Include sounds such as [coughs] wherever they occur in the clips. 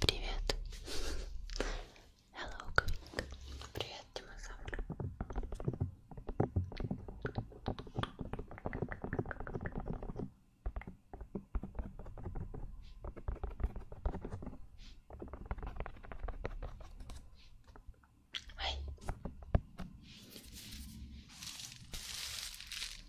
Привет. Hello, Quick. Привет, динозавр. Ай.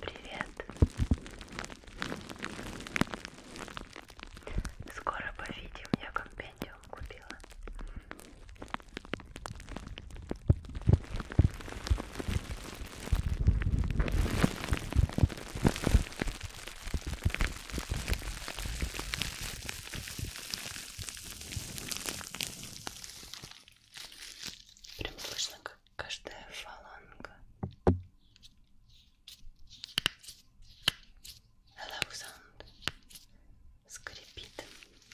Привет. Скоро повидим, я компьютер стипендиум купила. Прям слышно, как каждая фаланга. Hello Sound скрипит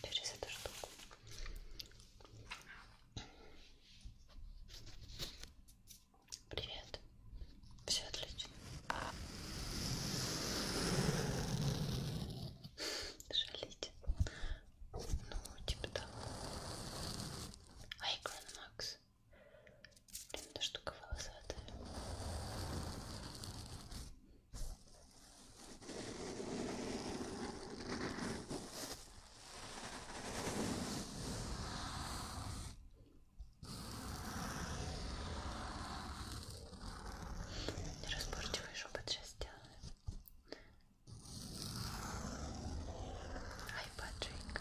через эту штуку. Привет. Все отлично. Жалите. Ну, типа того. Айкон Макс. Блин, эта штука волосатая. Неразборчивый шепот сейчас делаю. Ай, Патрик.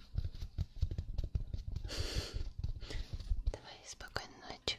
Давай, спокойной ночи.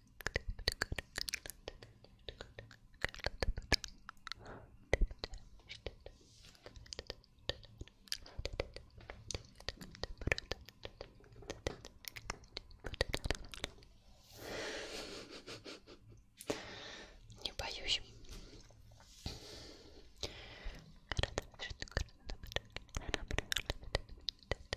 Не боюсь. Что I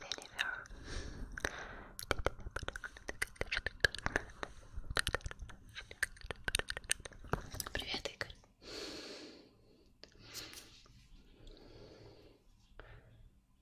deliver. Привет, Игорь.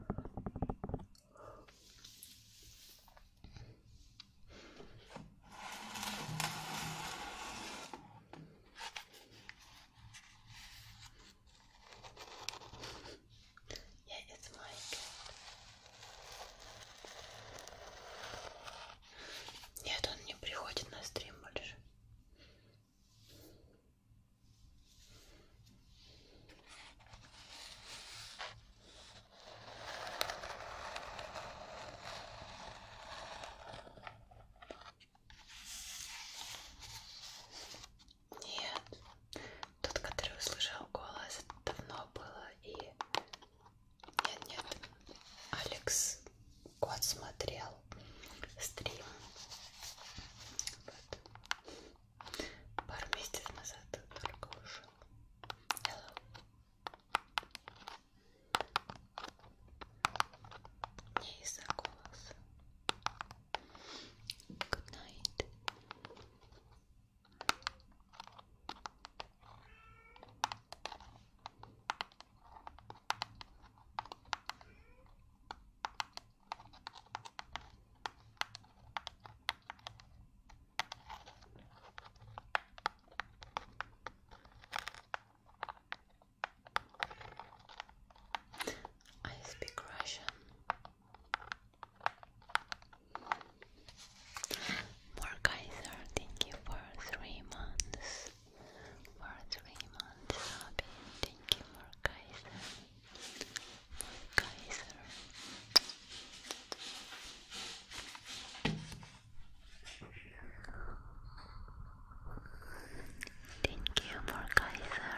Yeah, it's my Нет, он не приходит на стрим больше. Нет, тот, который услышал голос, давно было и... Нет, нет, Алекс Кот смотрел стрим. Вот пару месяцев назад только вышел. Hello. Не из-за голоса. Good night. I speak Russian. More thank you for three months. For three months, Robin. Thank you, more Kaiser. Kaiser. Thank you for Kaiser.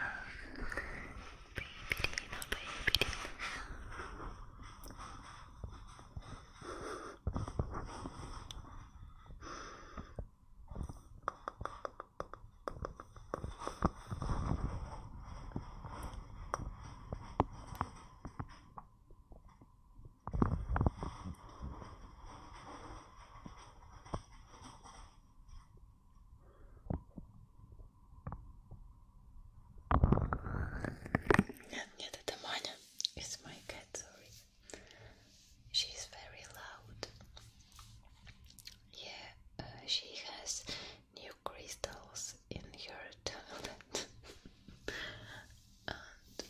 Baby Lina, baby Lina. Нет, это Маня. It's my cat, sorry. She's very loud. Yeah, uh, she has new crystals in her toilet. And...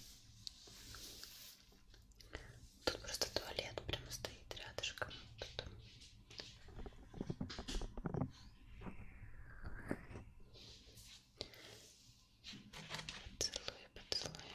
Тут просто туалет прямо стоит рядышком. Тут. Целую, поцелую.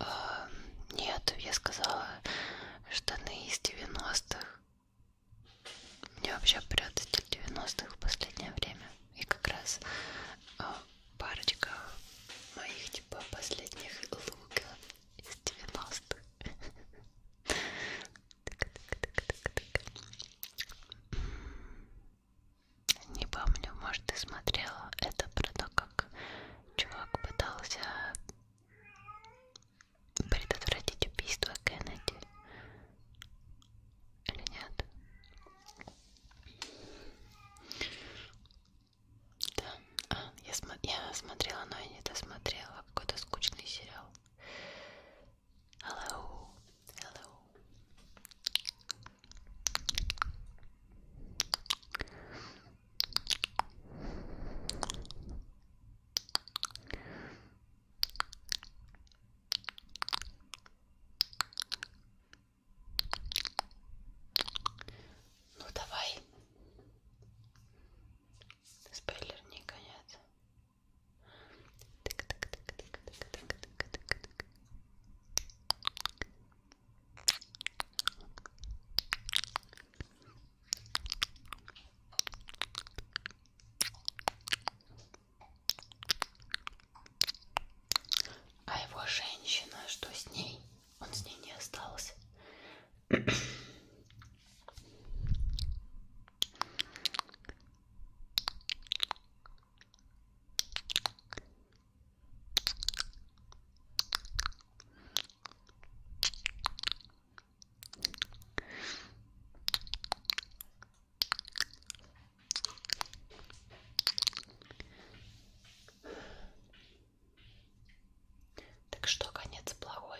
Эм, нет, я сказала штаны из 90-х. Мне вообще прет стиль 90-х в последнее время. И как раз э, парочка моих типа последних лука из 90-х. Не помню, может ты смотрела это про то, как чувак пытался предотвратить убийство Кеннеди или нет? Да, а, я, см я смотрела, но я не досмотрела какой-то скучный сериал. Hello, hello. Ну давай. Спойлер не конец. А его женщина, что с ней? Он с ней не остался. Так что конец плохой?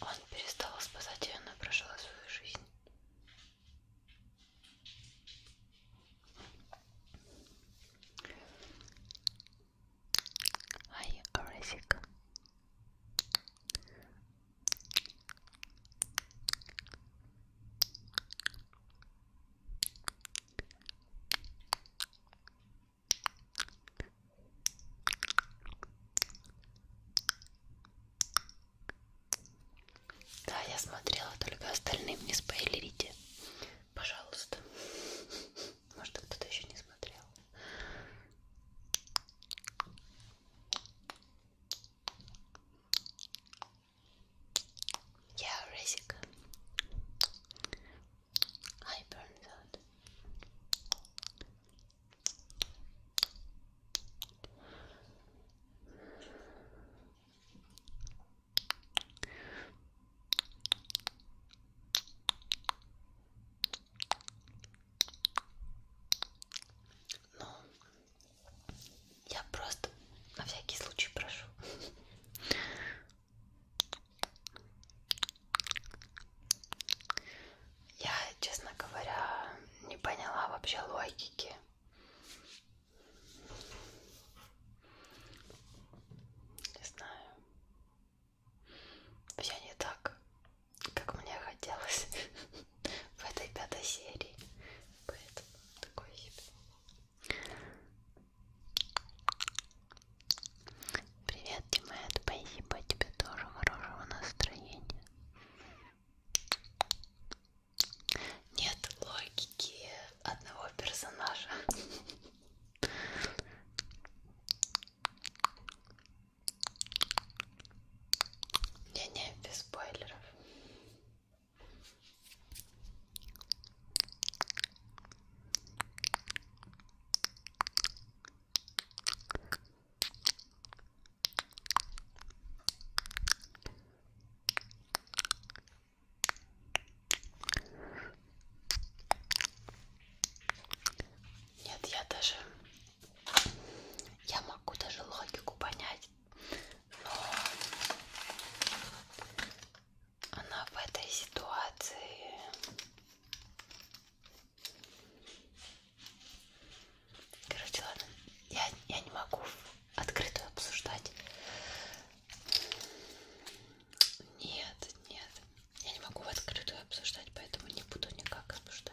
Он перестал спасать ее, она прожила свою жизнь. Ай, Оресик. Да, я смотрела, только остальным не спойлерите. Пожалуйста. Может, кто-то еще не смотрел. Я yeah, Резик. I burned out. Ну, я просто на всякий случай прошу. Я, честно говоря, не поняла вообще логики. Не знаю. Все не так, как мне хотелось [laughs] в этой пятой серии. Поэтому такой себе. Привет, Димет, спасибо тебе тоже хорошего настроения. Нет логики одного персонажа. Не-не, без спойлеров. Нет, я даже... Я могу даже логику понять, но она в этой ситуации Короче, ладно, я, я не могу открытую обсуждать. Нет, нет, я не могу в открытую обсуждать, поэтому не буду никак обсуждать.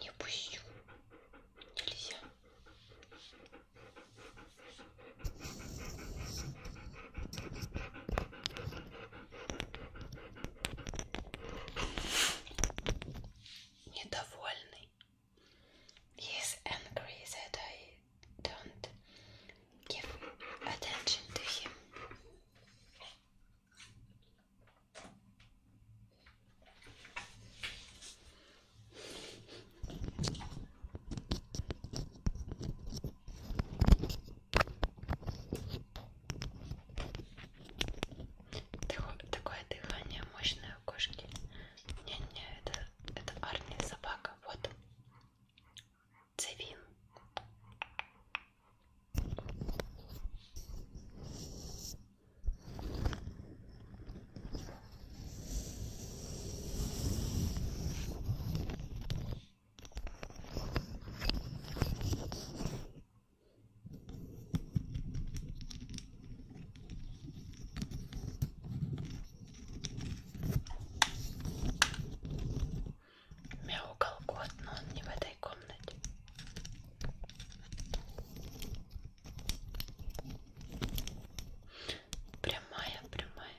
Не пущу. Нельзя. недовольный. He is angry that I don't give attention to him. Такое дыхание мощное у кошки. Не-не, это, это армия собака. Вот. Цевин. Мяукал кот, но он не в этой комнате. Прямая, прямая.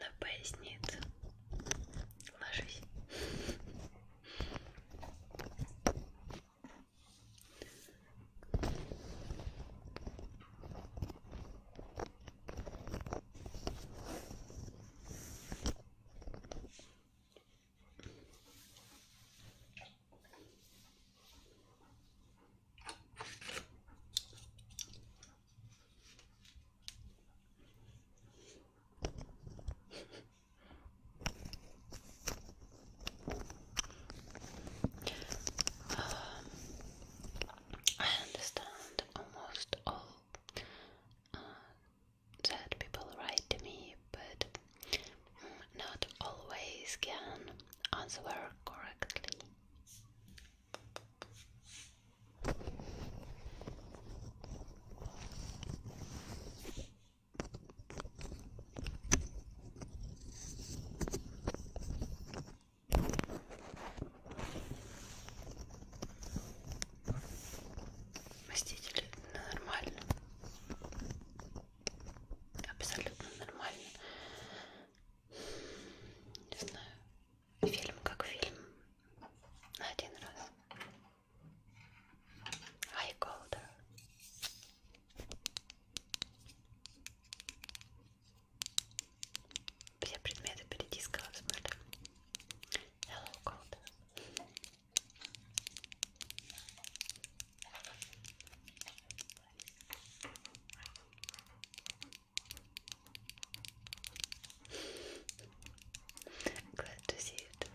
На поясницу. Ложись. Um, I understand almost all that uh, people write to me, but not always can answer correctly. Мстители нормально. абсолютно нормально. Не знаю, фильм как фильм. На один раз. Ай, Голдер. Все предметы перетискала в смысле. Hello, Голдер. I'm glad to see it.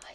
Hi.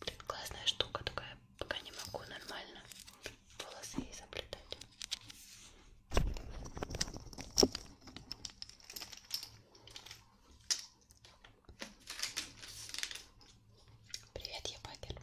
Блин, классная штука такая, пока не могу нормально волосы ей заплетать. Привет, я Багер.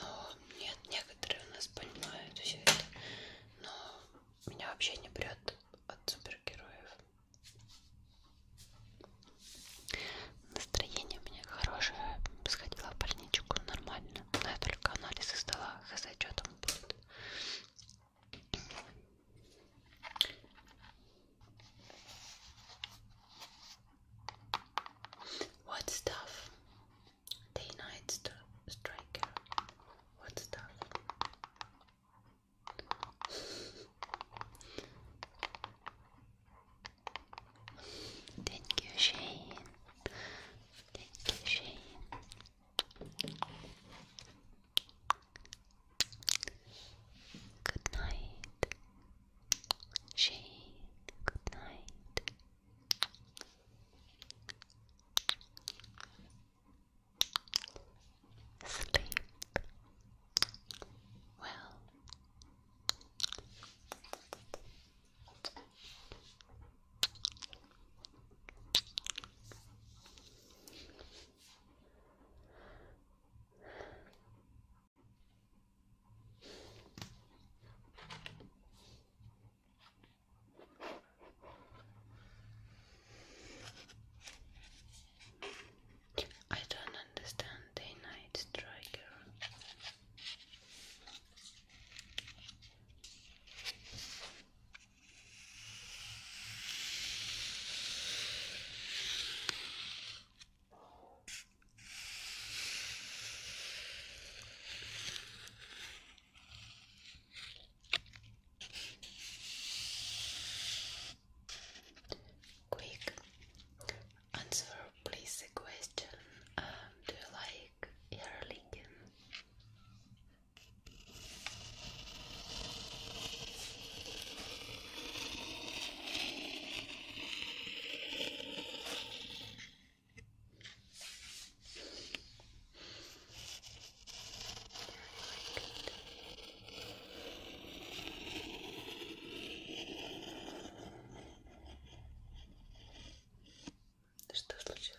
Но нет, некоторые у нас понимают все это. Но меня вообще не прет от супергероев. Настроение у меня хорошее. Сходила в больничку нормально. Но я только анализы сдала. Хз, что там будет. What stuff? The United St Striker. What stuff? Thank you, Shane. Thank you, Shane. Good night. Shane, good night. Sleep well. I don't understand day night striker. Quick answer, please. The question um, Do you like Erlingon? Что случилось?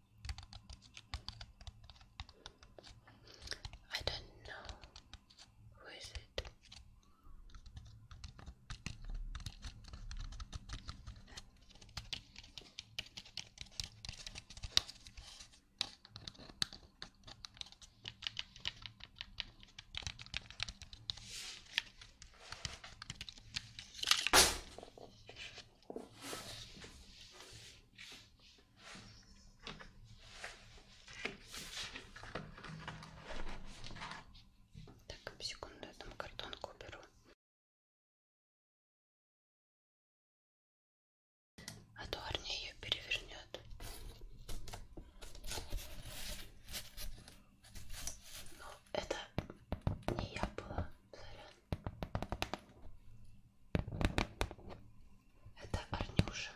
I don't know who is it. Так, секунду, я там картонку уберу. А то Арни ее перевернет. Ну, это не я была, сорян. Это Арнюша.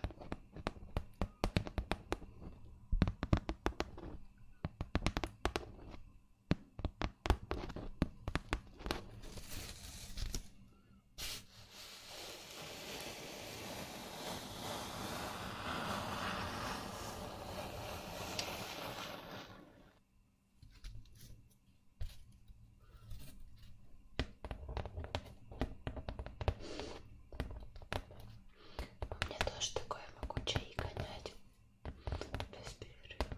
У а меня тоже такое, могу чай гонять без перерыва.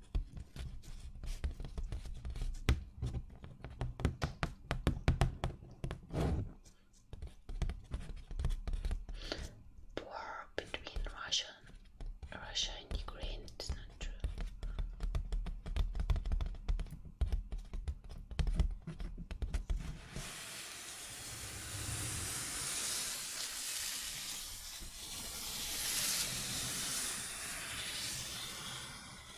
War between Russia, Russia and Ukraine. It's not true.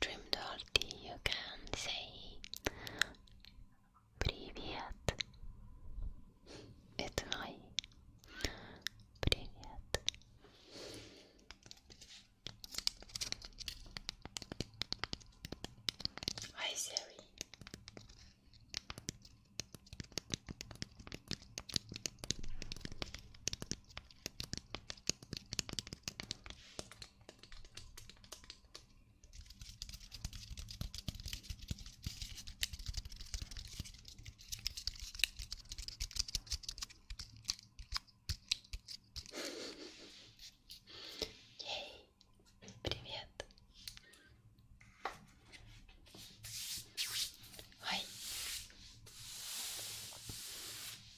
Trim Dirty, you can say Привет. It's hi. Привет. Hi Siri. Эй, привет. Ой.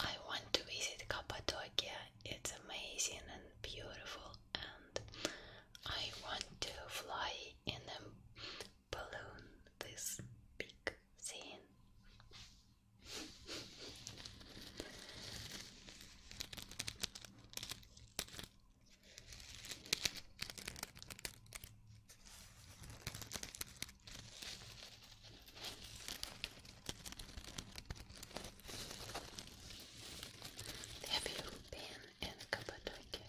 I want to visit Cappadocia. It's amazing and beautiful, and I want to fly in a balloon this big scene. Have you been in Cappadocia?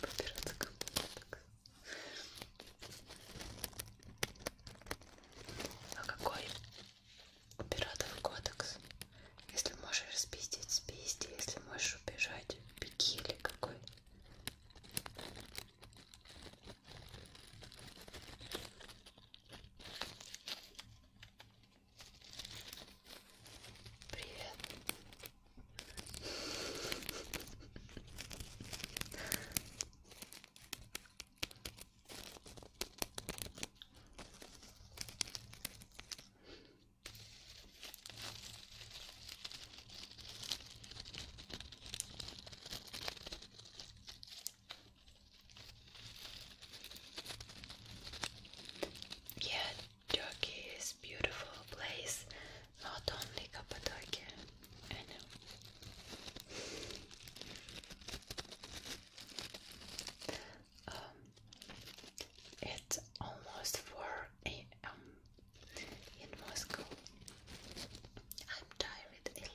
Побираться Каппадок. А какой у пиратов кодекс. Если можешь спиздить, спизди. Если можешь убежать, беги или какой. Привет. Yeah, Turkey is beautiful place, not only Cappadocia. Um, it's almost four a.m. in Moscow. I'm tired a little.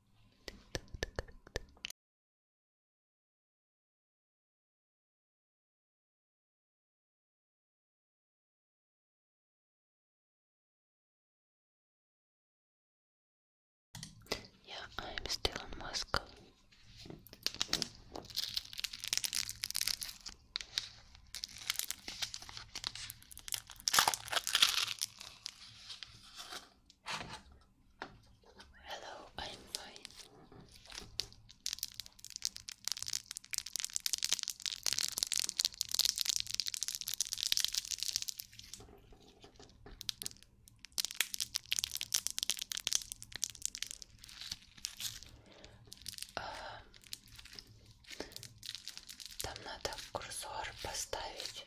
Yeah, I'm still in Moscow. Hello, I'm fine. А, там надо курсор поставить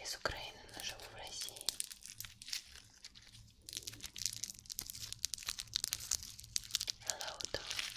Из Украины, но живу в России. Hello, Tom.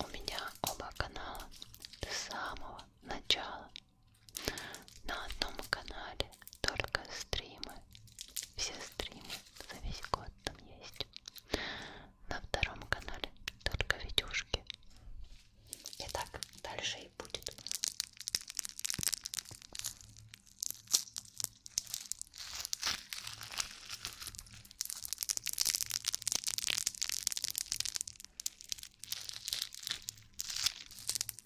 У меня оба канала с самого начала. На одном канале только стримы, все стримы за весь год там есть. На втором канале только видюшки. И так дальше и будет.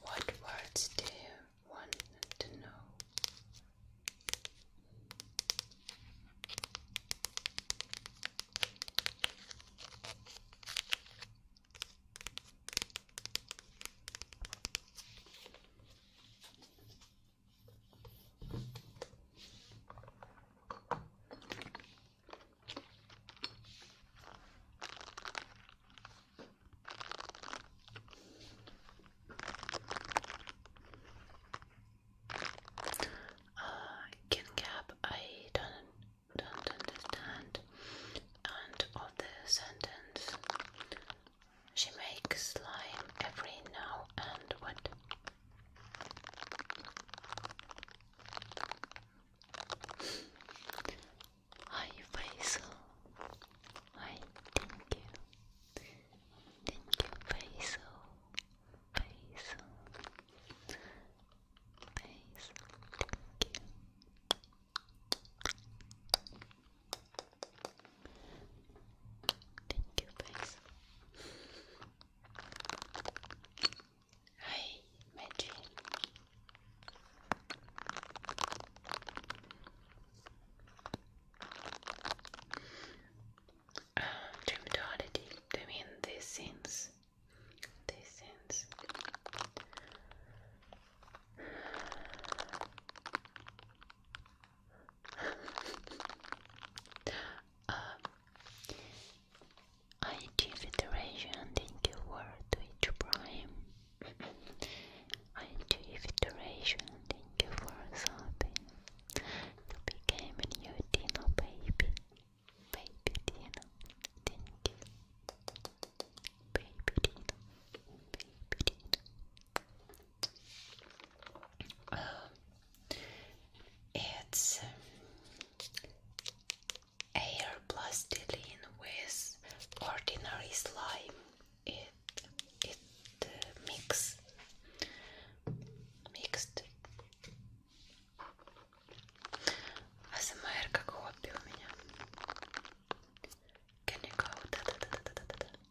What words do you want to know? Uh, King Gap, I don't don't understand and of the sentence she makes slime every now and what. Hi Basil. Hi, thank you. Thank you, Basil. Basil. Basil, thank you. Thank you, guys. Hi, Magic. Uh, Dreamduality, do you mean these scenes? These scenes. Uh, I give iteration thank you word to each prime. I give iteration thank you for something. You became a new Dino baby. Baby Dino, thank you. Baby Dino, baby Dino it's um, air plastilene with ordinary slime. It it uh, mixed. АСМР как хобби у меня. Can you go?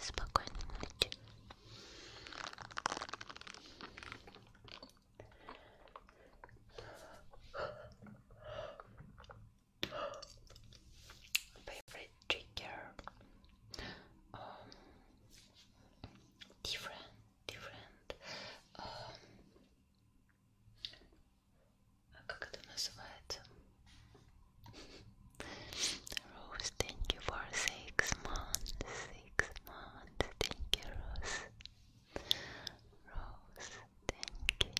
Спокойной ночи. Favorite trigger. Um, different, different. Um, Rose, thank you for six months, six months, thank you, Rose. Rose, thank you.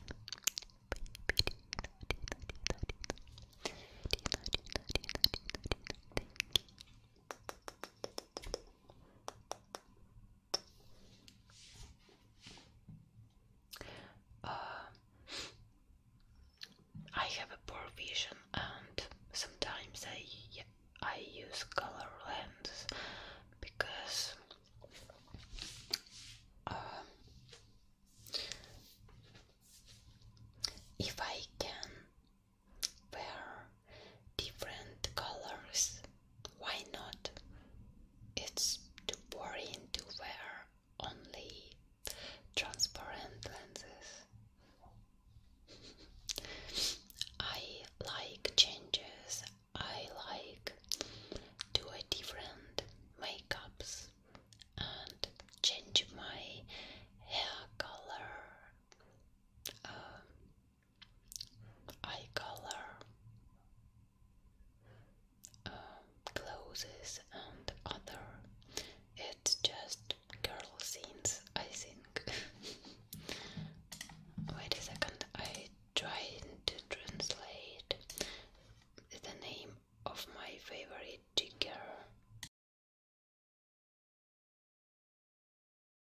Uh, I have a poor vision, and sometimes I I use color lenses because uh, if I can wear different colors why not? It's too boring to wear only transparent lenses. [laughs] I like changes. I like do a different makeups and change my hair color. Um, eye color, um, clothes, and other. It's just girl scenes, I think. [laughs] Wait a second, I tried to translate the name of my favorite trigger.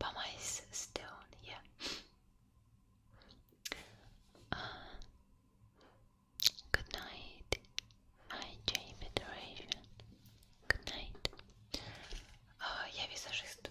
Bama is stone, yeah. Uh, good night. IJ Federation. Good night. Uh, я визажист.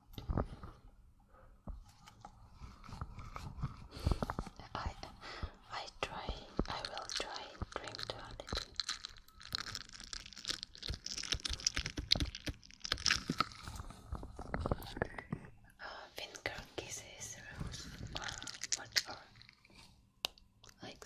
I I try I will try dream duality. Uh, finger kisses rose or uh, like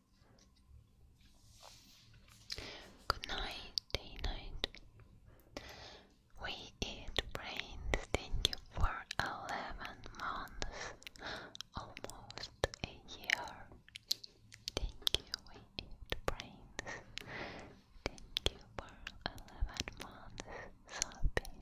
Good night, day night. We eat brains, thank you for 11 months, almost a year. Thank you, we eat brains. Thank you for 11 months, Sophie.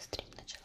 стрим начала.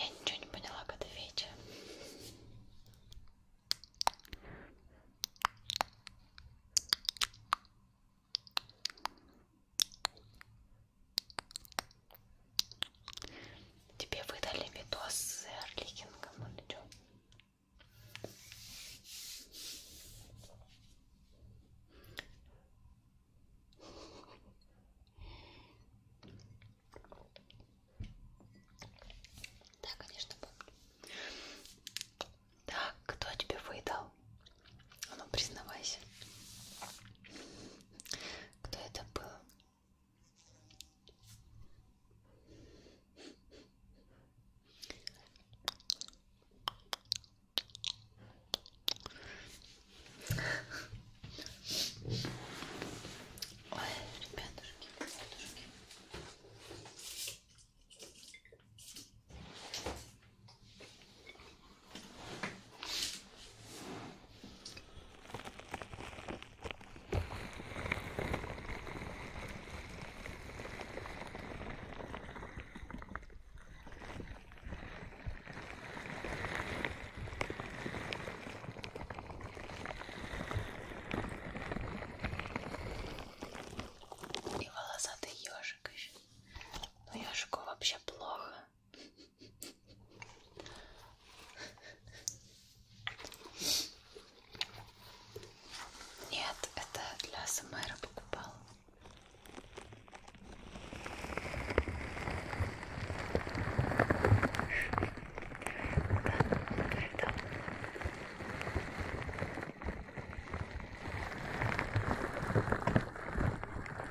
Я ничего не поняла, когда Федя. Тебе выдали видос с Эрликингом или что? Да, конечно, помню. Так, кто тебе выдал? А ну признавайся, кто это был? Ой, ребятушки, ребятушки. И волосатый ежик еще. Но ну, ежику вообще плохо. Нет, это для СМР покупал.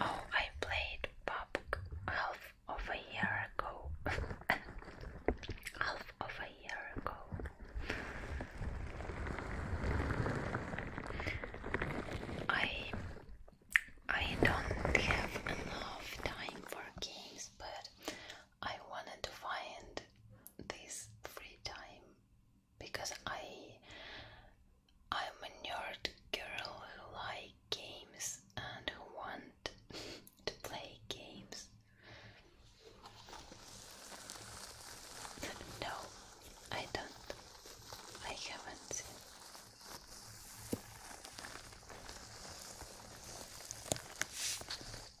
Oh, I played pub half of a year ago. [laughs] half of a year ago. I I don't have enough time for games, but I wanted to find this free time because I I'm a nerd girl who like games and who want to play games. no, I don't. I haven't seen.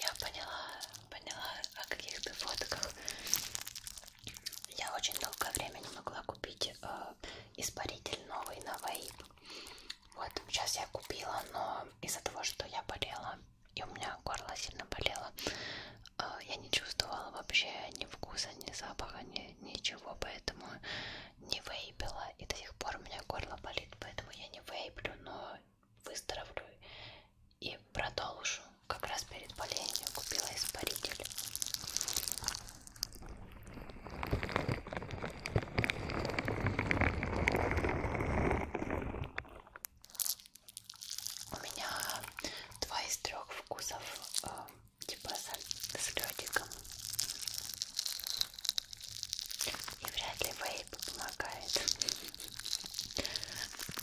Я поняла, поняла, о каких ты фотках я очень долгое время не могла купить э, испаритель новый на вейп. Вот, сейчас я купила, но из-за того, что я болела, и у меня горло сильно болело, э, я не чувствовала вообще ни вкуса, ни запаха, ни, ничего, поэтому не вейпила. И до сих пор у меня горло болит, поэтому я не вейплю, но выздоровлю и продолжу. Как раз перед болезнью купила испаритель. У меня два из трех вкусов э, типа с, с ледиком. И вряд ли вейп помогает.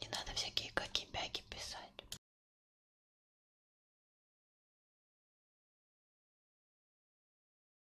Не надо всякие какие-бяки писать.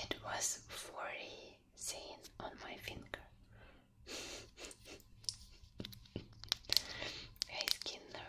It was forty seen on my finger. [laughs] Hey Kinder,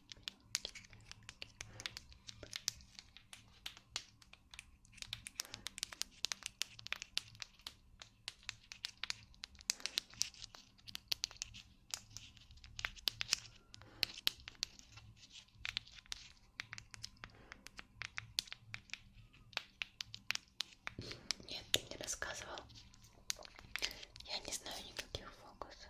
Нет, ты не рассказывал. Я не знаю никаких фокусов.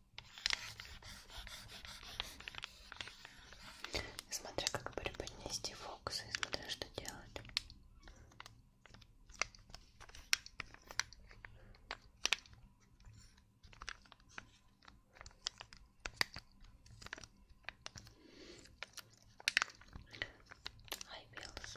Смотря как преподнести фокус и смотря что делать. I feels.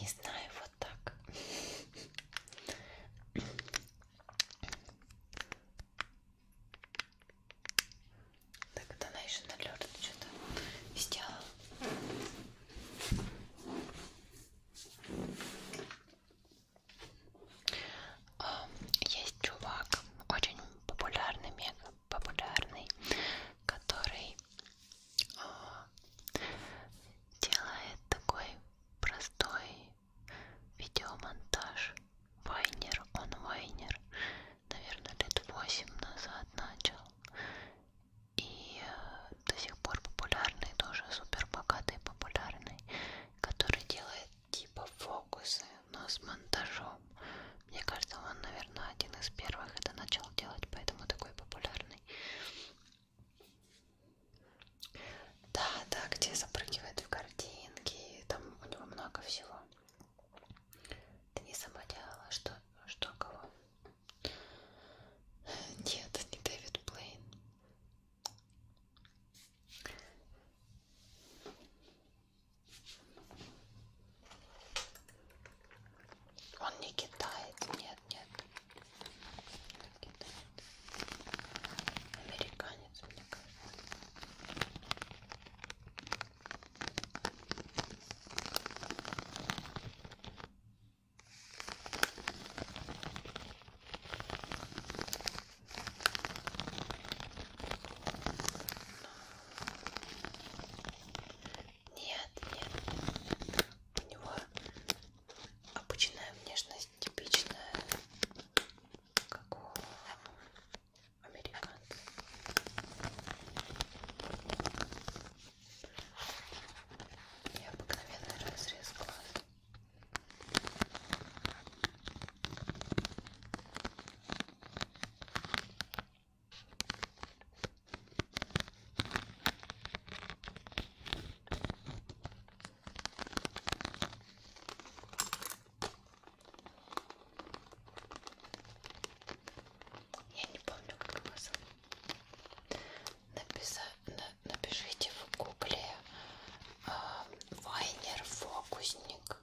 Не знаю, вот так. Так, это она еще налет что-то сделала. Есть чувак, очень популярный, мега популярный, который а, делает такой простой видеомонтаж Вайнер, он Вайнер, наверное, лет 8 назад начал. И э, до сих пор популярный, тоже супер богатый, популярный, который делает типа фокусы, но с монтажом. Мне кажется, он, наверное, один из первых это начал делать, поэтому такой популярный. Да, да, где запрыгивает в картинки, там у него много всего. Ты не сама делала что? Что кого? Нет, не Дэвид Блейн. Он не китаец, нет, нет. Китаец. Американец, мне кажется. Нет, нет. У него обычная внешность типичная, как у американцы. Необыкновенный разрез глаз. Я не помню, как вас Написа... Напишите в гугле э, Вайнер Фокусник.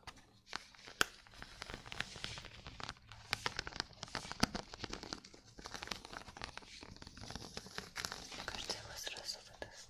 Каждый его сразу выдаст.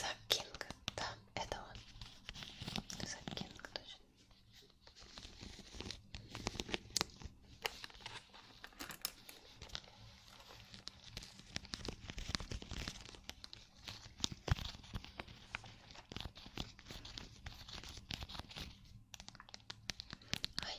Зак Кинг, да, это он. Зак Кинг, точно. Ай.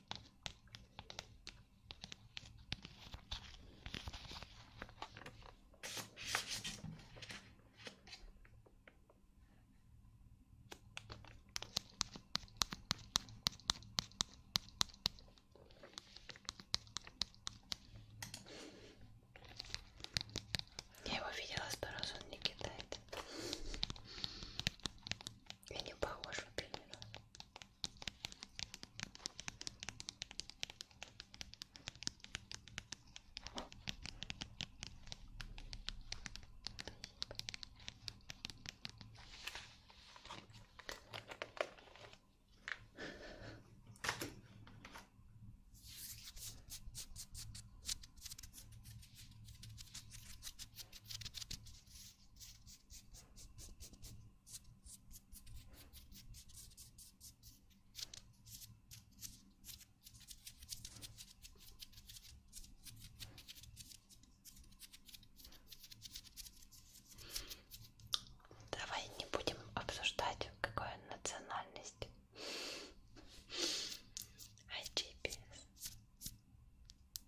Я его видела сто раз, он не кидает. И не похож вот именно. Давай не будем обсуждать, какая национальность. IGPS.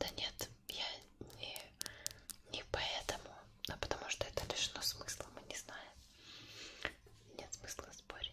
Да нет, я не, не поэтому, а потому что это лишено смысла, мы не знаем. Нет смысла спорить.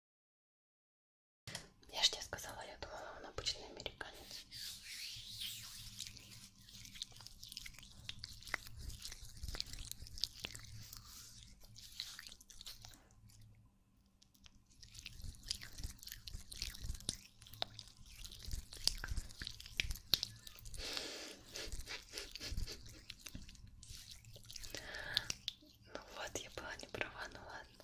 Я же тебе сказала, я думала, он обычный американец. Ну вот, я была не права, ну ладно.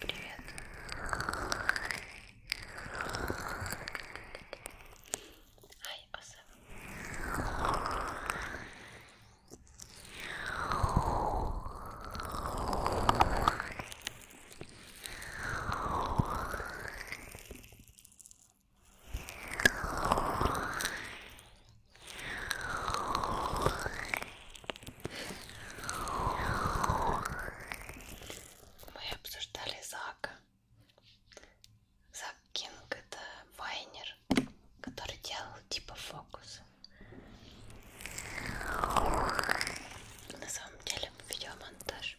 Привет. Ай, оса. Привет. Мы обсуждали Зака. Зак Кинг это вайнер, который делал типа фокус. На самом деле видеомонтаж.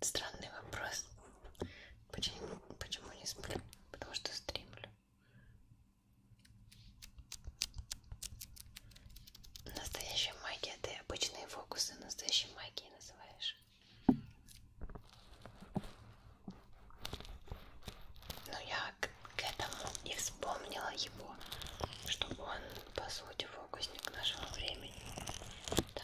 Странный вопрос. Почему, почему не сплю? Потому что стримлю. Настоящая магия, ты обычные фокусы настоящей магией называешь. Ну я к этому и вспомнила его, что он, по сути, фокусник нашего времени. Да.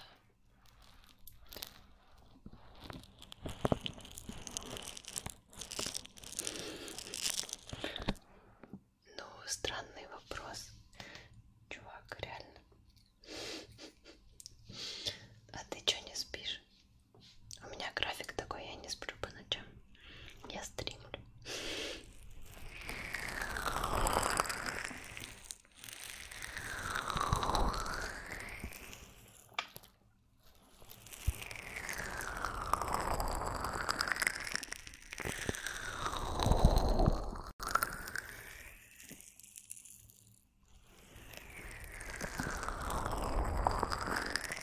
Ну, странный вопрос, чувак, реально. А ты чё не спишь? У меня график такой, я не сплю по ночам. Я стримлю.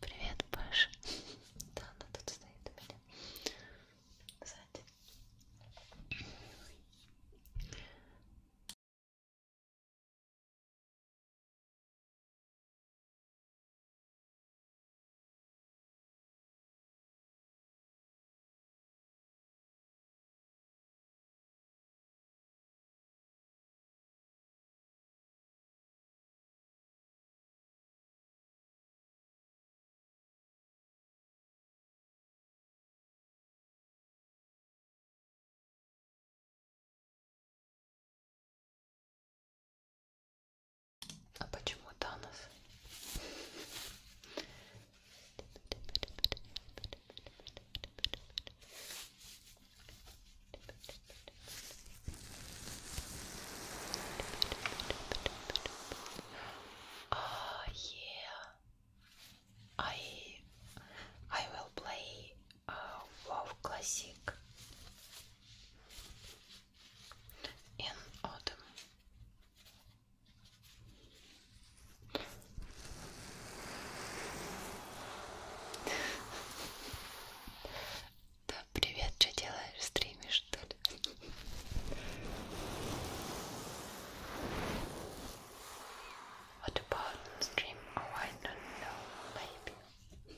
Привет, Паша. Да, она тут стоит у меня. Сзади. А почему Танос? Oh yeah. I I will play uh, WoW Classic in autumn. Да, привет, что делаешь? Стримишь, что ли? What about stream? Oh, I don't know. Maybe.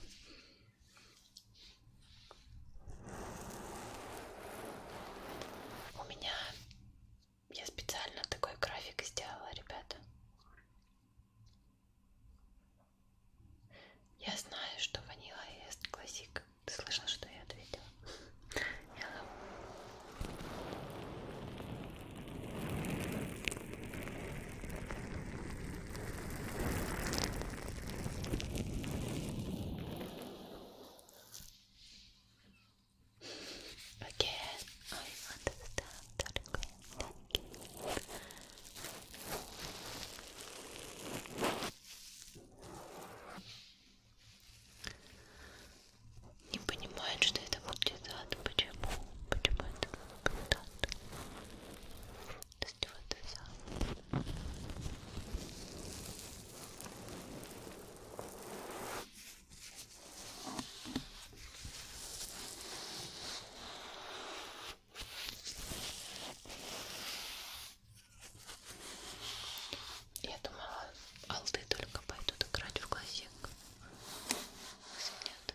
У меня... Я специально такой график сделала, ребята. Я знаю, что ванила ест классик. Ты слышал, что я ответила? Hello. Again, I understand that не понимает, что это будет ад. Почему? Почему это будет ад? То есть вот это. Я думала, алды только пойдут играть в глазик. Нет.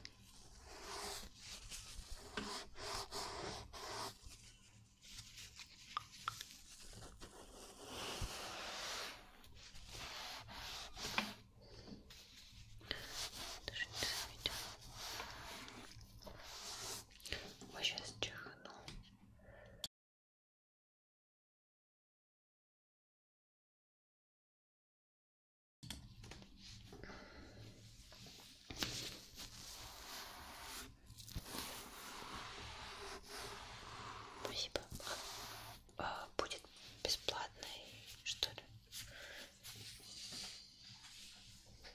Даже не заметила. Вот сейчас чихну. Спасибо. А, будет бесплатный, что ли?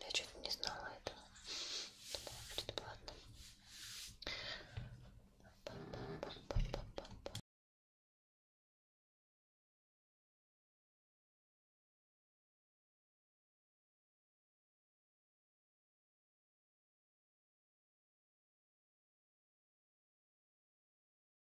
Я чуть не знала этого. Думала, бесплатно.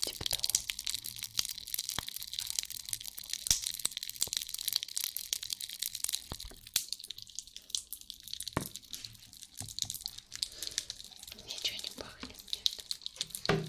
Типа того. Ничего не пахнет, нет.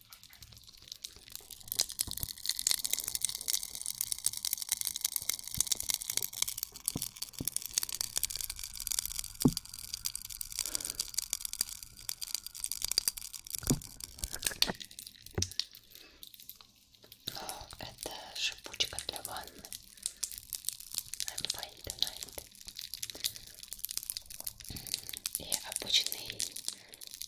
Но это шипучка для ванны. I'm fine tonight. И обычный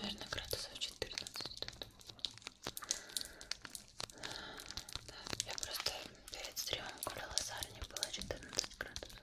Наверное, градусов 14 тут. Да, я просто перед стримом гуляла с Арни, было 14 градусов.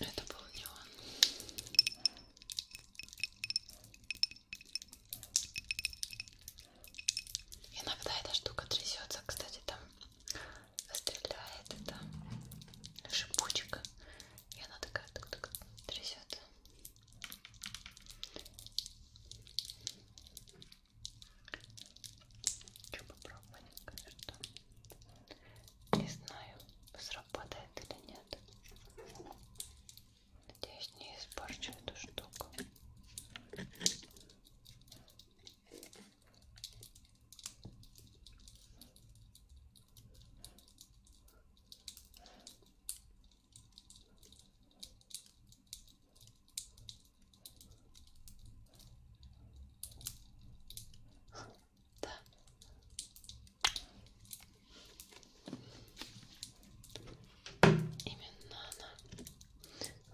Это был не он. Иногда эта штука трясется, кстати, там стреляет это шипучка, и она такая тук -тук, трясется. Хочу попробовать, конечно. Не знаю, сработает или нет. Надеюсь, не испорчу эту штуку. Да. Именно она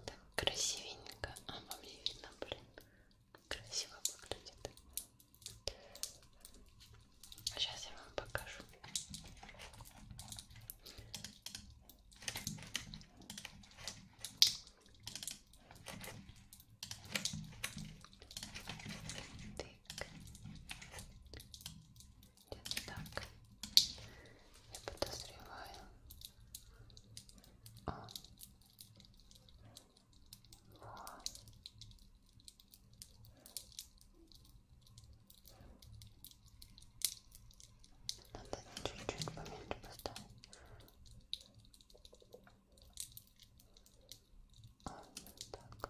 так красивенько, а по мне видно, блин, красиво выглядит. Сейчас а я вам покажу. Так. Где-то так. Я подозреваю. О. А. Во. Надо чуть-чуть поменьше поставить. А, О, так.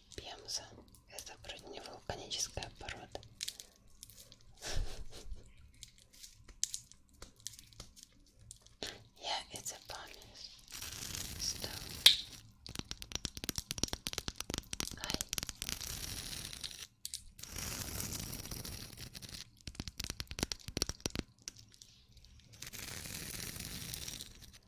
Пемза. Это вроде не вулканическая порода. Yeah, it's a pumice stone. Hi.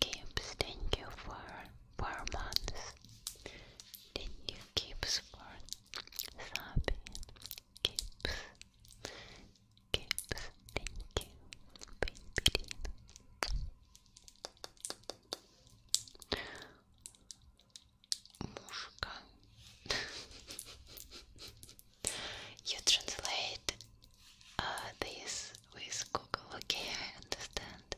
Gibbs, thank you for months. Thank you Keep for Sabi keeps keeps thank you baby [laughs] You translate uh, this with Google, okay, I understand.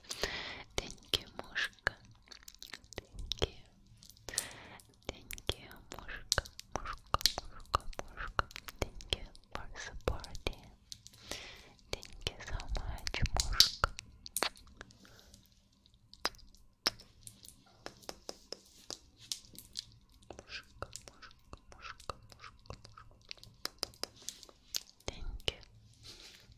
Thank you, Mushka. Thank you. Thank you, Mushka, Mushka, Mushka, Mushka. Thank you for supporting. so much, Mushka. Mushka, Mushka, Mushka, Mushka, Mushka.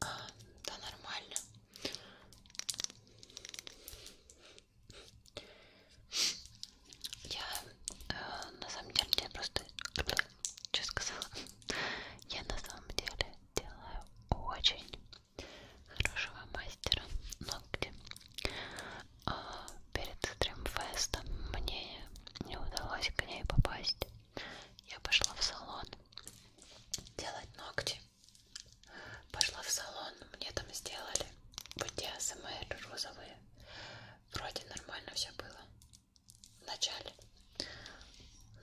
А, да, нормально. Я э, на самом деле я просто что сказала? Я на самом деле делаю очень хорошего мастера ногти. А перед стримфестом мне не удалось к ней попасть. Я пошла в салон делать ногти. Пошла в салон, мне там сделали вот те АСМР розовые. Вроде нормально все было в начале.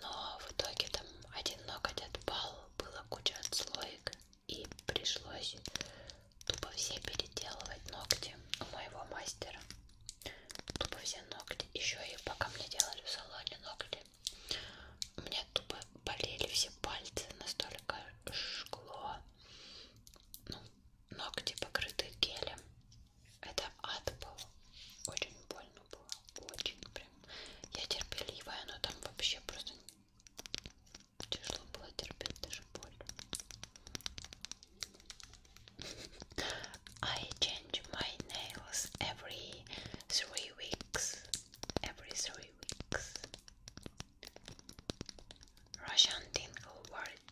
Но в итоге там один ноготь отпал, была куча отслоек и пришлось тупо все переделывать ногти у моего мастера тупо все ногти. Еще и пока мне делали в салоне ногти, мне тупо болели все пальцы, настолько жгло. Ну, ногти покрыты гелем. Это ад был. Очень больно было. Очень прям. Я терпеливая, но там вообще просто тяжело было терпеть даже боль. I change my nails every three weeks. Every three weeks. Russian tingle word.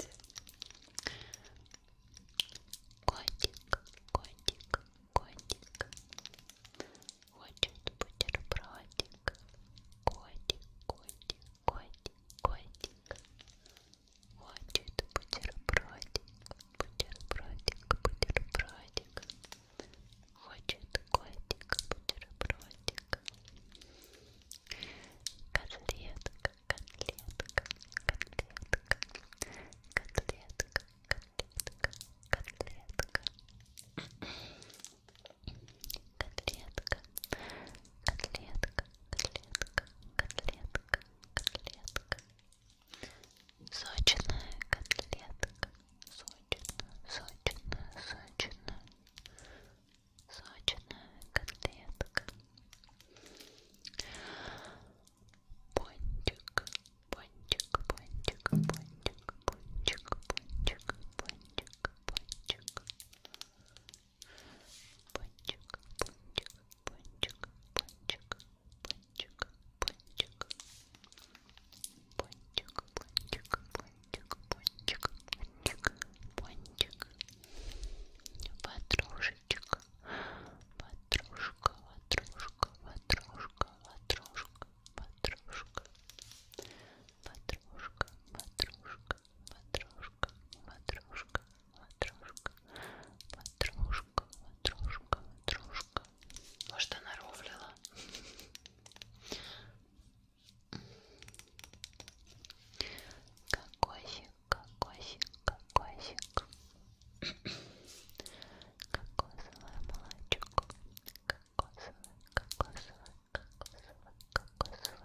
Котик, котик, котик. Хочет бутербродик. Котик, котик, котик, котик. хочет бутербродик, бутербродик, бутербродик, хочет котик, бутербродик, котлетка, котлетка, котлетка, котлетка, котлетка, котлетка. Котлетка, котлетка, котлетка, котлетка, котлетка, Сочная котлетка. Сочная, сочная, сочная. Сочная котлетка. Пончик, пончик, пончик, пончик, пончик, пончик, пончик, пончик. Пончик, пончик, пончик, пончик, пончик, пончик, пончик, пончик, пончик, пончик, пончик, ватрушечек, ватрушка, ватрушка, ватрушка, ватрушка, ватрушка, ватрушка, ватрушка, ватрушка, ватрушка, ватрушка, ватрушка, ватрушка, ватрушка. Может, она рофлила? Кокосик, кокосик, кокосик. Кокосовое молочко. Кокосовое, кокосовое, кокосовое, кокосовое, кокосовое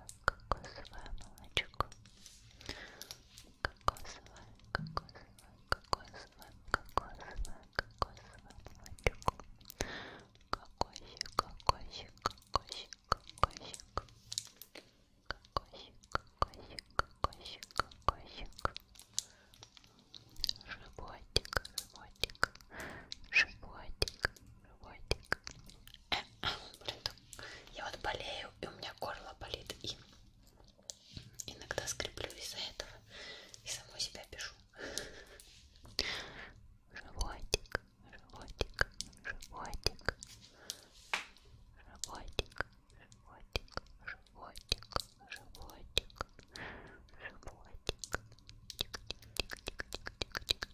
молочко. Кокосовое, кокосовое, кокосовое, кокосовое, кокосовое, кокосовое молочко. Кокосик, кокосик, кокосик, кокосик. Кокосик, кокосик, кокосик, кокосик. Животик, животик, животик, животик. Э, блин, я вот болею, и у меня горло болит, и Иногда скреплю из-за этого и самой себя пишу. Животик, животик, животик, животик, животик, животик, животик, животик. Тик-тик-тик-тик-тик-тик-тик.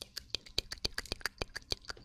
Тик-тик-тик-тик-тик-тик.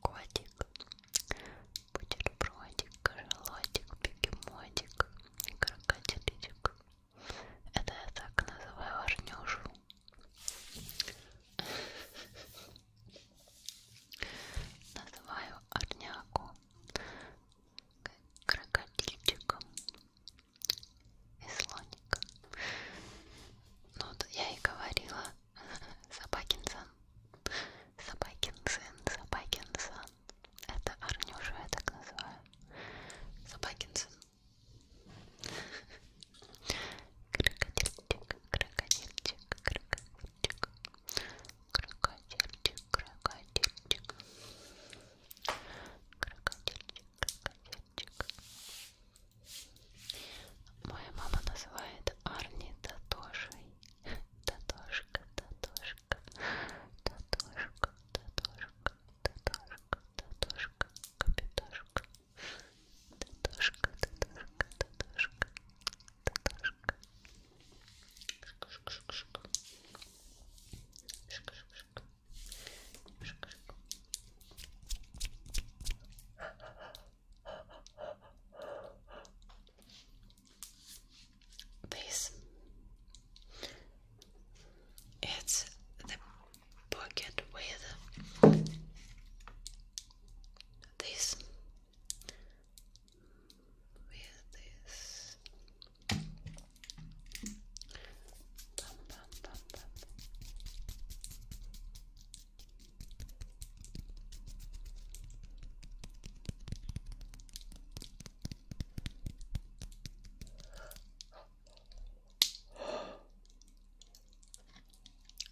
Котик, бутербродик, кожелотик, бегемотик, крокодиличек. Это я так называю Арнюшу. Называю Арняку крокодильчиком и слоником художником. Ну, вот я и говорила, э, Собакин сын, Собакин сын, Собакин сын. Это Арнюша, я так называю. Собакин сын. Крокодильчик, крокодильчик, крокодильчик. Крокодильчик, крокодильчик. Крокодильчик, крокодильчик мальчик. Моя мама называет Арни Татошей. [laughs] Татошка, Татошка, Татошка, Татошка, Татошка, Татошка, Капитошка. Татошка, Татошка, Татошка, Татошка. Шка-шка-шка. Шка-шка-шка. Шка-шка. This it's the pocket with this with this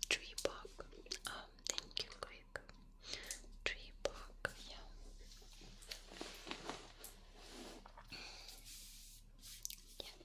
Tree bark. Um, thank you, Greg. Tree bark, yeah. Yeah, Так,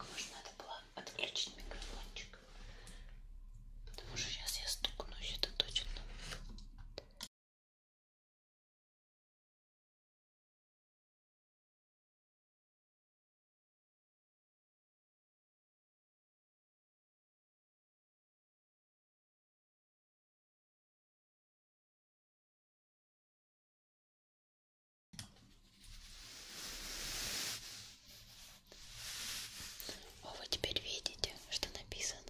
может, надо было отключить микрофончик. Потому что сейчас я стукнусь, это точно. О, вы теперь видите, что написано.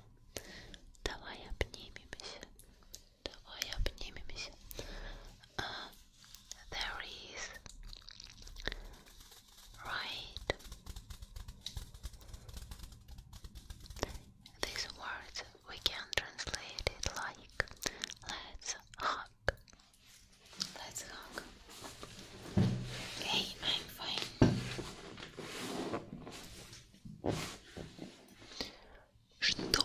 Давай обнимемся. Давай обнимемся. Uh, there is right. These words we can translate it like let's hug. Let's hug. Okay, I'm Что?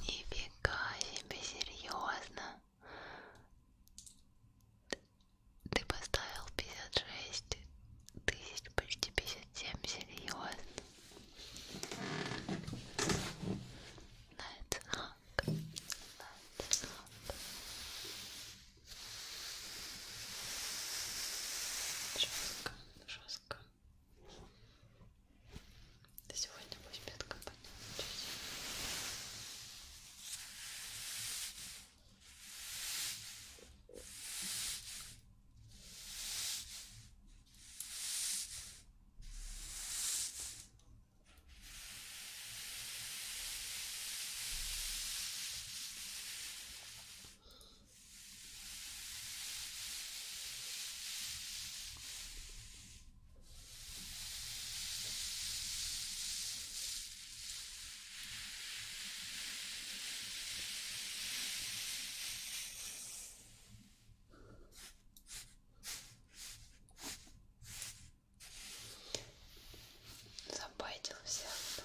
Нифига себе, серьезно? Ты поставил 56 тысяч, почти 57, серьезно? Найт знак, найт знак. Жестко, жестко. Ты сегодня пусть пятка поднимешь. Забайтил всех, да.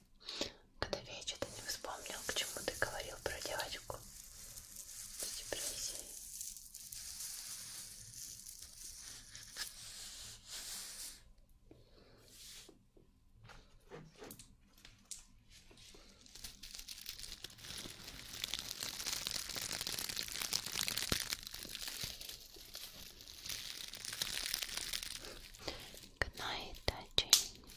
Когда я что-то не вспомнил, к чему ты говорил про девочку с депрессией. Good night, Дачи.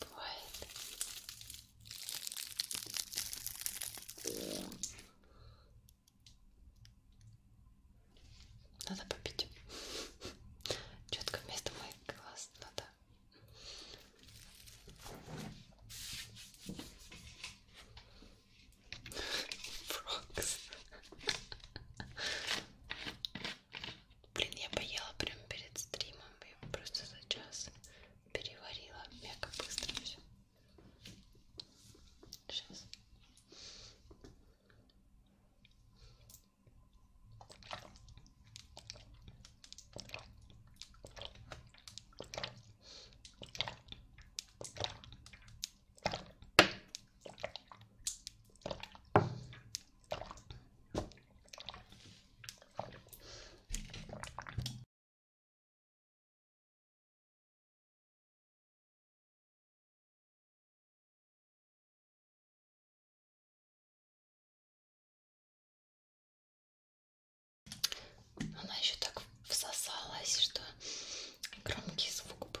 Бывает. Надо попить. Четко вместо моих глаз надо. Ну Фрокс. Блин, я поела прям перед стримом. Я просто за час переварила. Мега быстро все. Сейчас. Она еще так всосалась, что громкий звук был.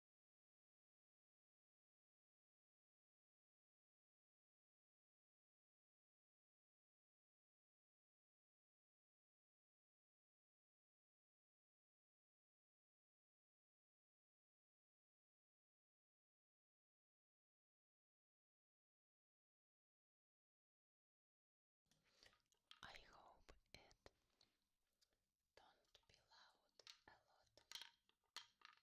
I hope it don't be loud a lot.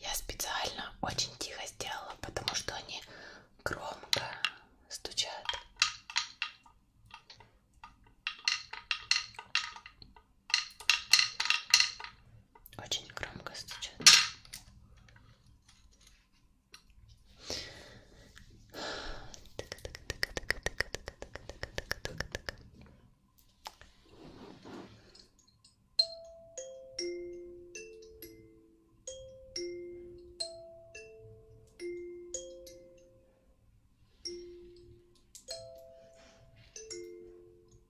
Я специально очень тихо сделала, потому что они громко стучат. Очень громко стучат.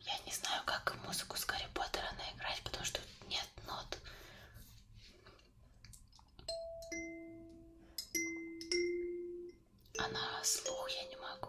Я не знаю, как музыку с Гарри Поттера наиграть, потому что тут нет нот. А на слух я не могу.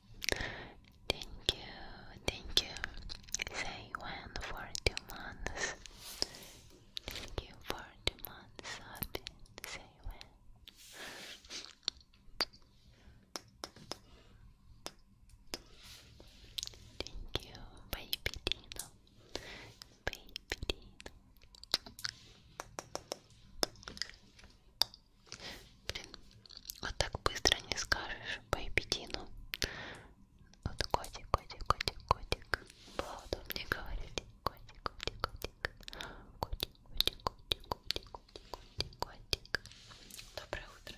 Thank you, thank you, say one for two months. Thank you for two months often, say when. Thank you, baby Dino, baby Блин, вот так быстро не скажешь по эпидину. Вот котик, котик, котик, котик. Было удобнее говорить. Котик, котик, котик. Котик, котик, котик, котик, котик, котик, котик. Доброе утро.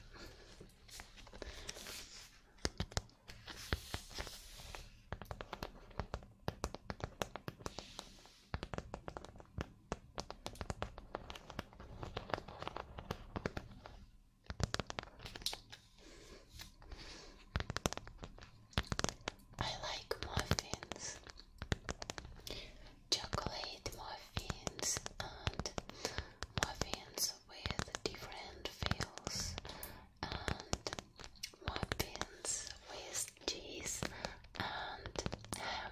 I like muffins, chocolate muffins, and muffins with different fills, and muffins with cheese and ham.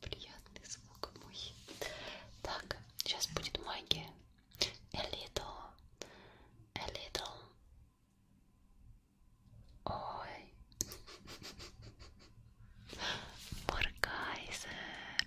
Приятный звук мой. Так, сейчас будет магия. A little, a little. Ой. Моргайзер. [laughs]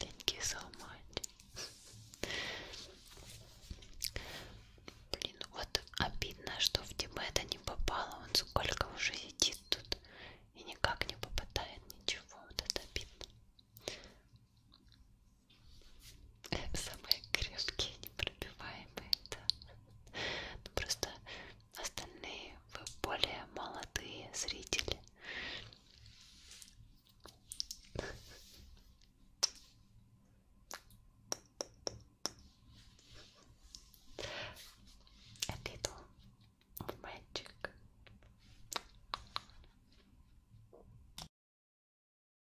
Thank you so much. Блин, вот обидно, что в Тибета не попало. Он сколько уже сидит тут и никак не попадает ничего. Вот это обидно. Э, самые крепкие непробиваемые, да. Ну, просто остальные вы более молодые зрители. A little of magic.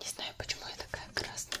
Не знаю, почему я такая красная.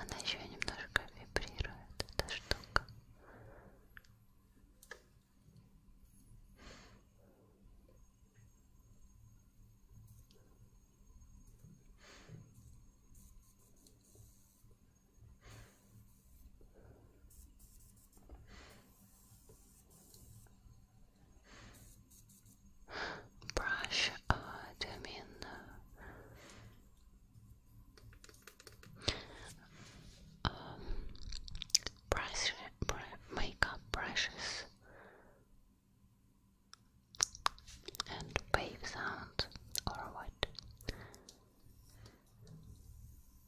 Она еще немножко вибрирует, эта штука. М Brush uh, mean uh, um, brush makeup brushes and wave sound or what?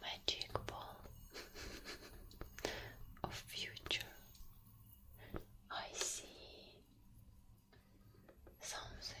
Magic ball of future. I see something.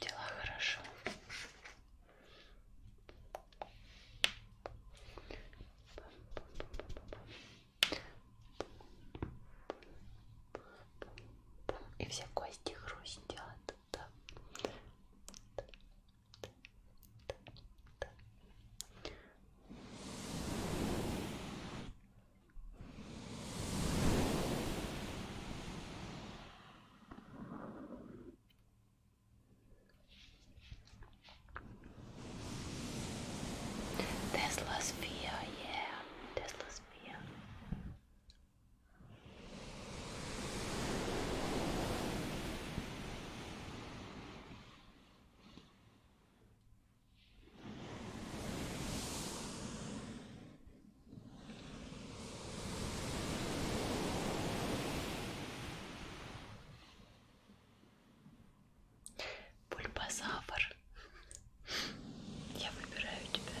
Дела хорошо. И все кости хрустят. Да. Tesla fear, yeah, Tesla fear. Бульбазавр. Я выбираю тебя.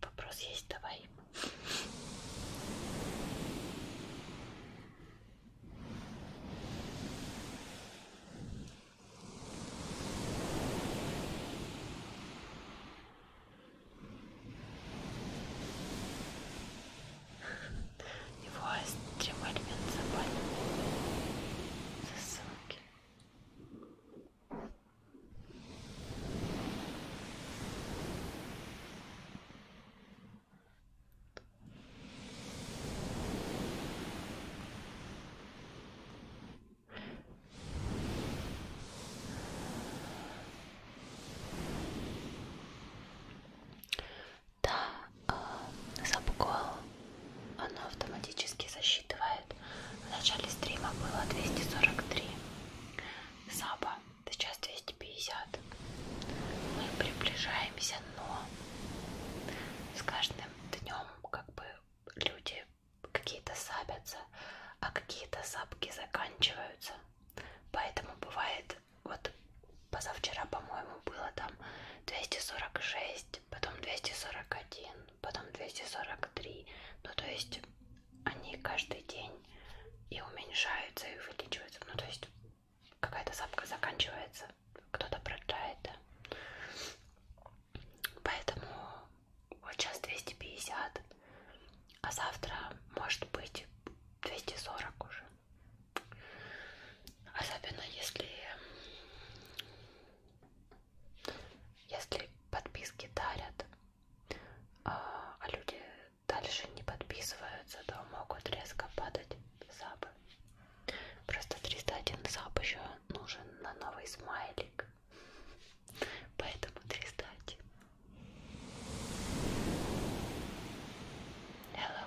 Вопрос есть, давай. Его острим эльмин запален. Засылки. Да, э, а, запкол оно автоматически засчитывает. В начале стрима было 243 саба, сейчас 250. Мы приближаемся, но с каждым днем как бы люди какие-то сабятся, а какие-то сапки заканчиваются. Поэтому бывает вот позавчера, по-моему, было там 246, потом 241, потом 243. Ну, то есть они каждый день и уменьшаются, и увеличиваются. Ну, то есть какая-то сапка заканчивается, кто-то продает, да. Поэтому вот сейчас 250, а завтра может быть 240 уже. Особенно если если подписки дарят, а, а люди дальше не подписываются, то могут резко падать сабы. Просто 301 саб еще нужен на новый смайлик. Поэтому 301. Hello.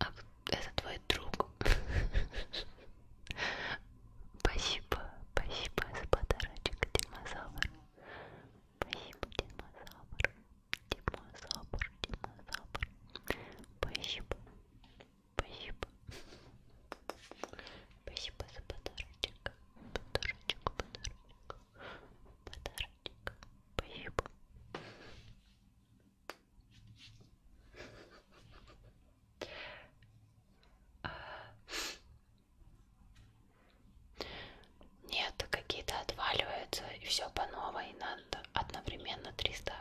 А это твой друг. [laughs] Спасибо, спасибо за подарочек, динозавр. Спасибо, динозавр. Динозавр, динозавр. Спасибо. Спасибо. Спасибо за подарочек. Подарочек, подарочек. Подарочек. Спасибо. Нет, какие-то отваливаются, и все по новой, надо одновременно 300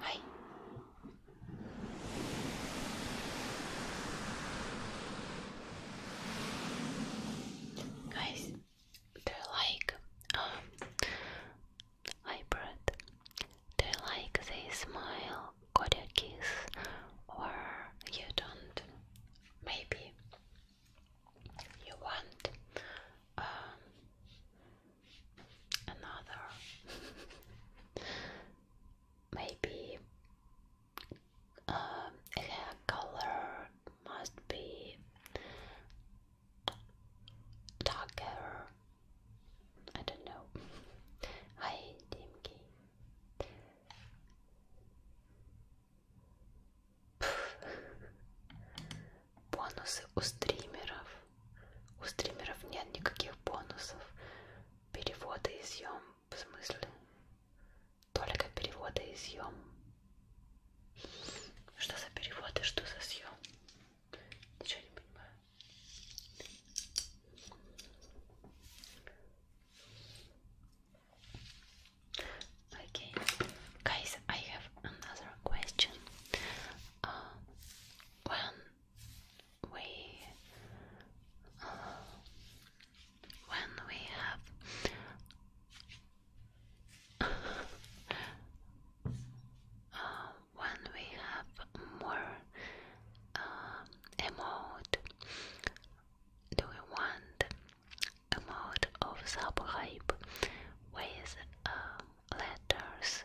はい guys they're like hybrid um, they're like they smile got a kiss or you don't maybe you want um, another maybe um, hair color must be darker. I don't know. Hi, Dimki. [laughs] бонусы у стримеров. У стримеров нет никаких бонусов. Переводы и съем, в смысле, только переводы и съем. Что за переводы, что за съем? Ничего не понимаю. Okay, guys, I have another question. when we uh, when we have uh, when we have more uh, do we want a mode of subhype with uh, letters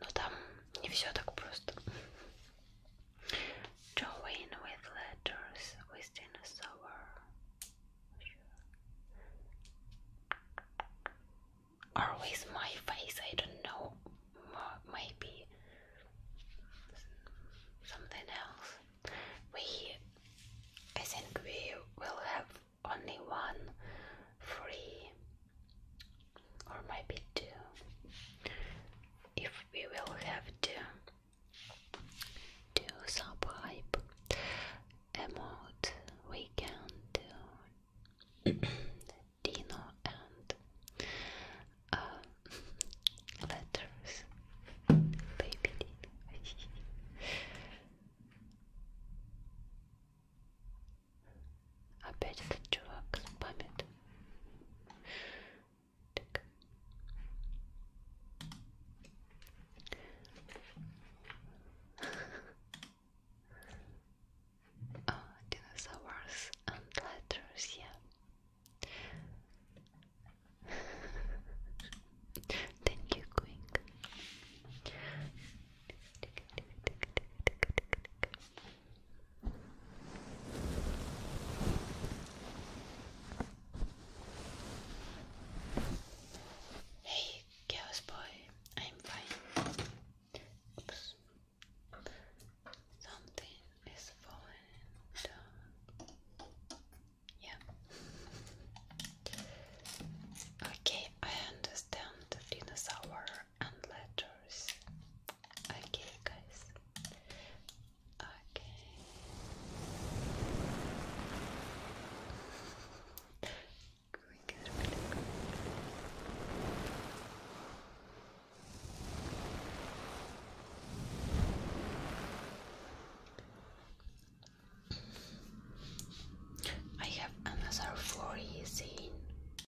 Но там не все так просто. Drawing with letters within a Or with my face, I don't know. Maybe something else. We, I think we will have only one free or maybe two if we will have to do some pipe emote we can do [coughs] Dino and uh, [laughs] letters baby Dino [laughs] Опять этот чувак спамит. Так. oh, and letters, yeah. Thank you, Queen. Hey, Chaos Boy, I'm fine. Something is falling down. Yeah. Okay, I understand dinosaur and letters. Okay, guys. Okay. Going good, I have another four years in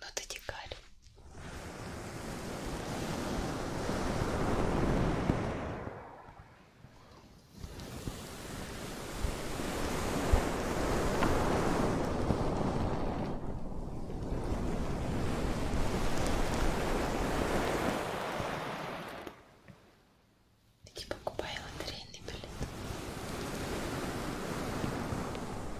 но ты дикарь. Иди покупай лотерейный билет.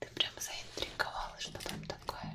Ты прям заинтриговала, что там такое.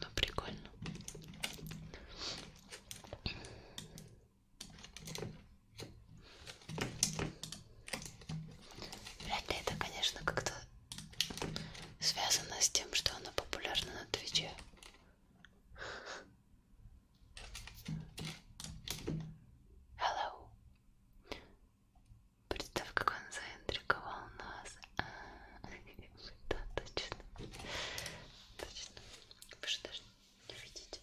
Ну, прикольно. Вряд ли это, конечно, как-то связано с тем, что она популярна на Твиче. Hello. Представь, как он заинтриговал нас. А -а -а. Да, точно. Точно. Вы же даже не видеть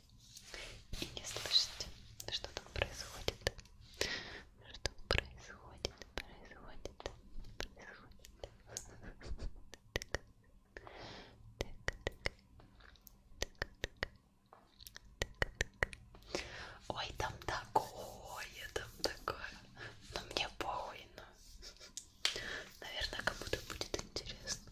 и не слышать, что там происходит. Что происходит, происходит, происходит. Так, так, так, так, так. Ой, там такое, там такое. Но мне похуй, но... Ну. Наверное, кому-то будет интересно.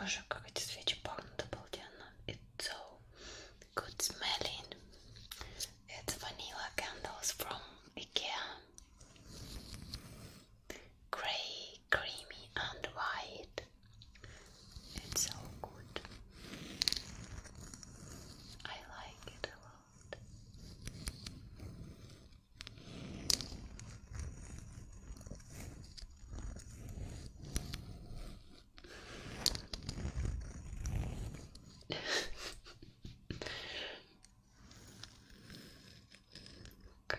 Боже, как эти свечи пахнут обалденно. It's so good smelling. It's vanilla candles from Ikea. Grey creamy and white. It's so good. I like it a lot. [laughs] Good.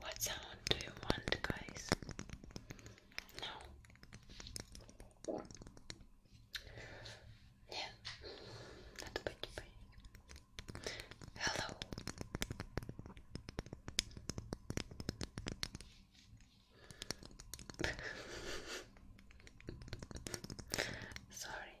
What sound do you want, guys? No. Нет, надо быть поедем. Hello. [laughs] Sorry.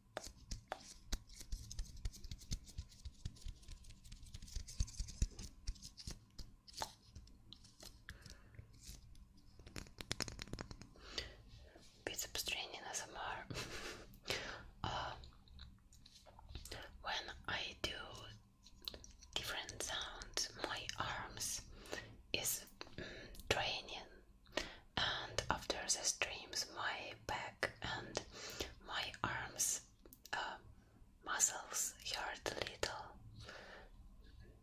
Bits of straining ASMR. [laughs] uh, when I do different sounds, my arms is training. Mm, and after the streams, my back and my arms uh, muscles hurt a little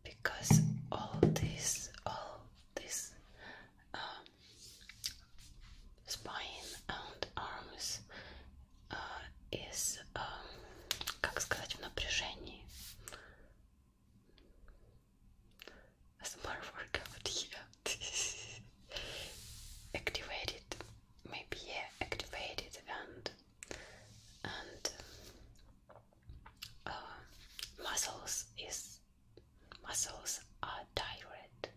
because all this, all this um, spine and arms uh, is, um, как сказать, в напряжении. As workout here. [laughs] Activated, it maybe yeah activate and and uh, muscles is muscles are tired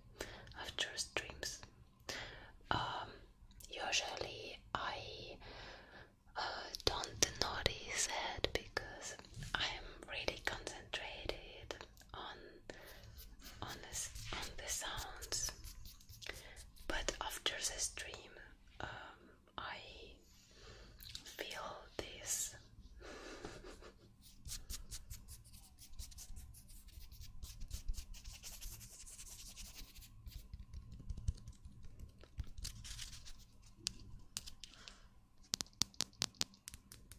after dreams. Um, usually I uh, don't notice it because I'm really concentrated on on this on the sounds but after the stream um, I feel this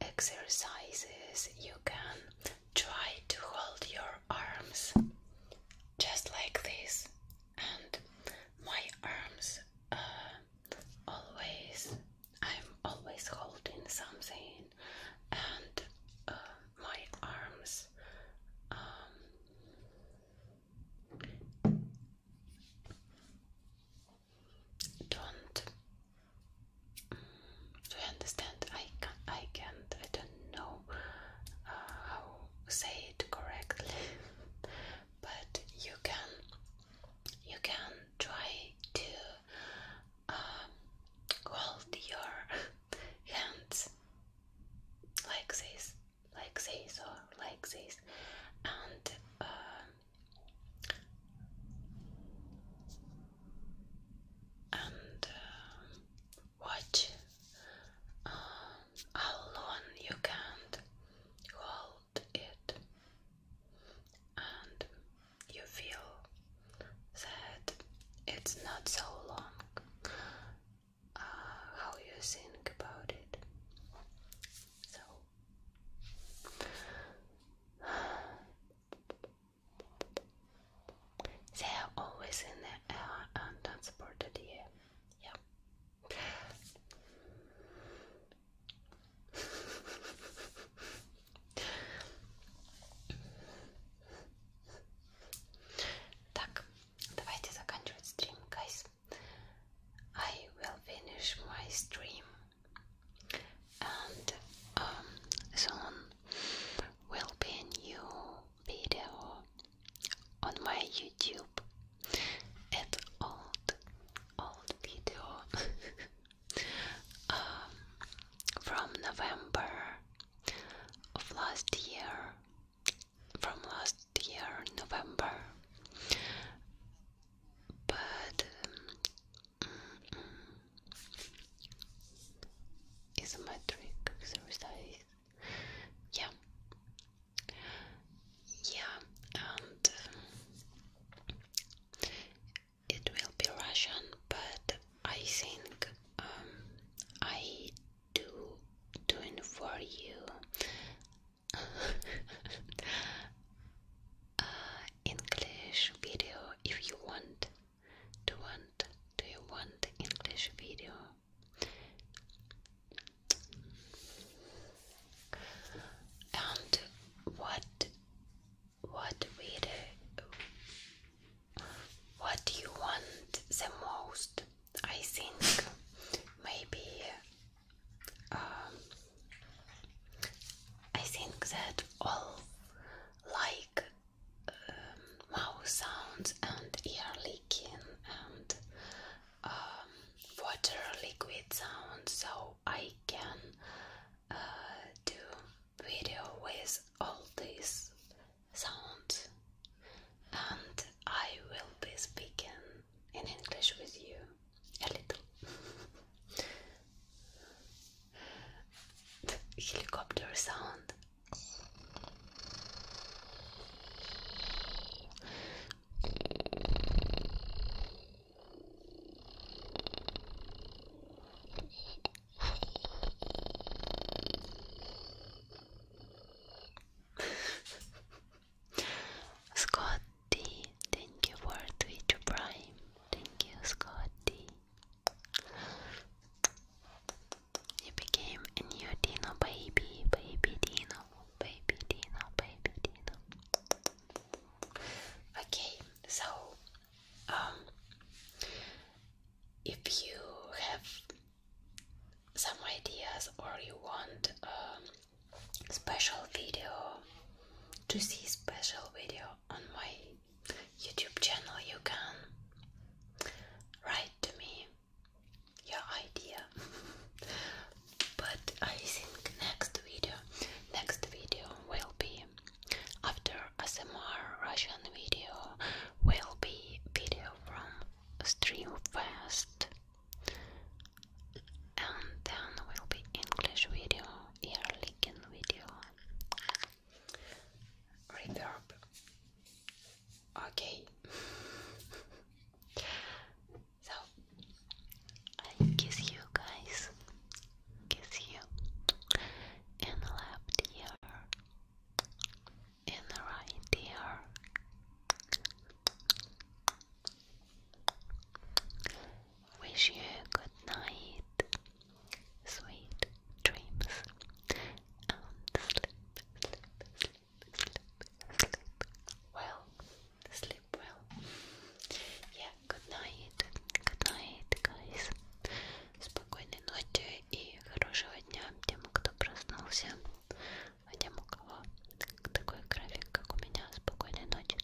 exercises you can try to hold your arms just like this, and my arms uh, always I'm always holding something, and uh, my arms. Um, don't do understand? I can't. I don't know uh, how to say it correctly, [laughs] but you can. You can try to um, hold your [laughs] hands like this, like this, or like this, and. Uh, and uh, watch um, how long you can hold it, and you feel that it's not so long. Uh, how you think about it. They are always in the transported here. Yeah. Так, давайте заканчивать стрим, guys. I will finish my stream and um, soon will be a new video on my YouTube. It's old, old video [laughs] um, from November of last year. From last year, November. But um, isometric exercise. Yeah, yeah, and it will be Russian, but I think um, I do doing for you. [laughs] Uh, English video if you want. Do want do you want the English video? And what what video what do you want the most? I think maybe um, I think that all like um, mouth sounds and ear leaking and um, water liquid sound, so I can uh, do video with all these sounds, and I will be speaking in English with you a little. [laughs] helicopter sound. [laughs] Scotty, thank you for Twitch Prime. Thank you, Scotty. You became a new Dino baby, baby Dino, baby Dino, baby Dino. Okay, so um if you have some ideas or you want um special video to see special video on my YouTube channel, you can write to me your idea. [laughs] but I think next video, next video will be after ASMR Russian video, will be video from Streamfest, and then will be English video, ear licking video reverb. Okay. so I kiss you guys. Kiss you in left ear, in right ear. Wish you good night. Sweet dreams and sleep, sleep, sleep, sleep, sleep well, sleep well. Yeah, good night, good night, guys. Спокойной ночи и хорошего дня тем, кто проснулся, а тем, у кого такой график, как у меня, спокойной ночи.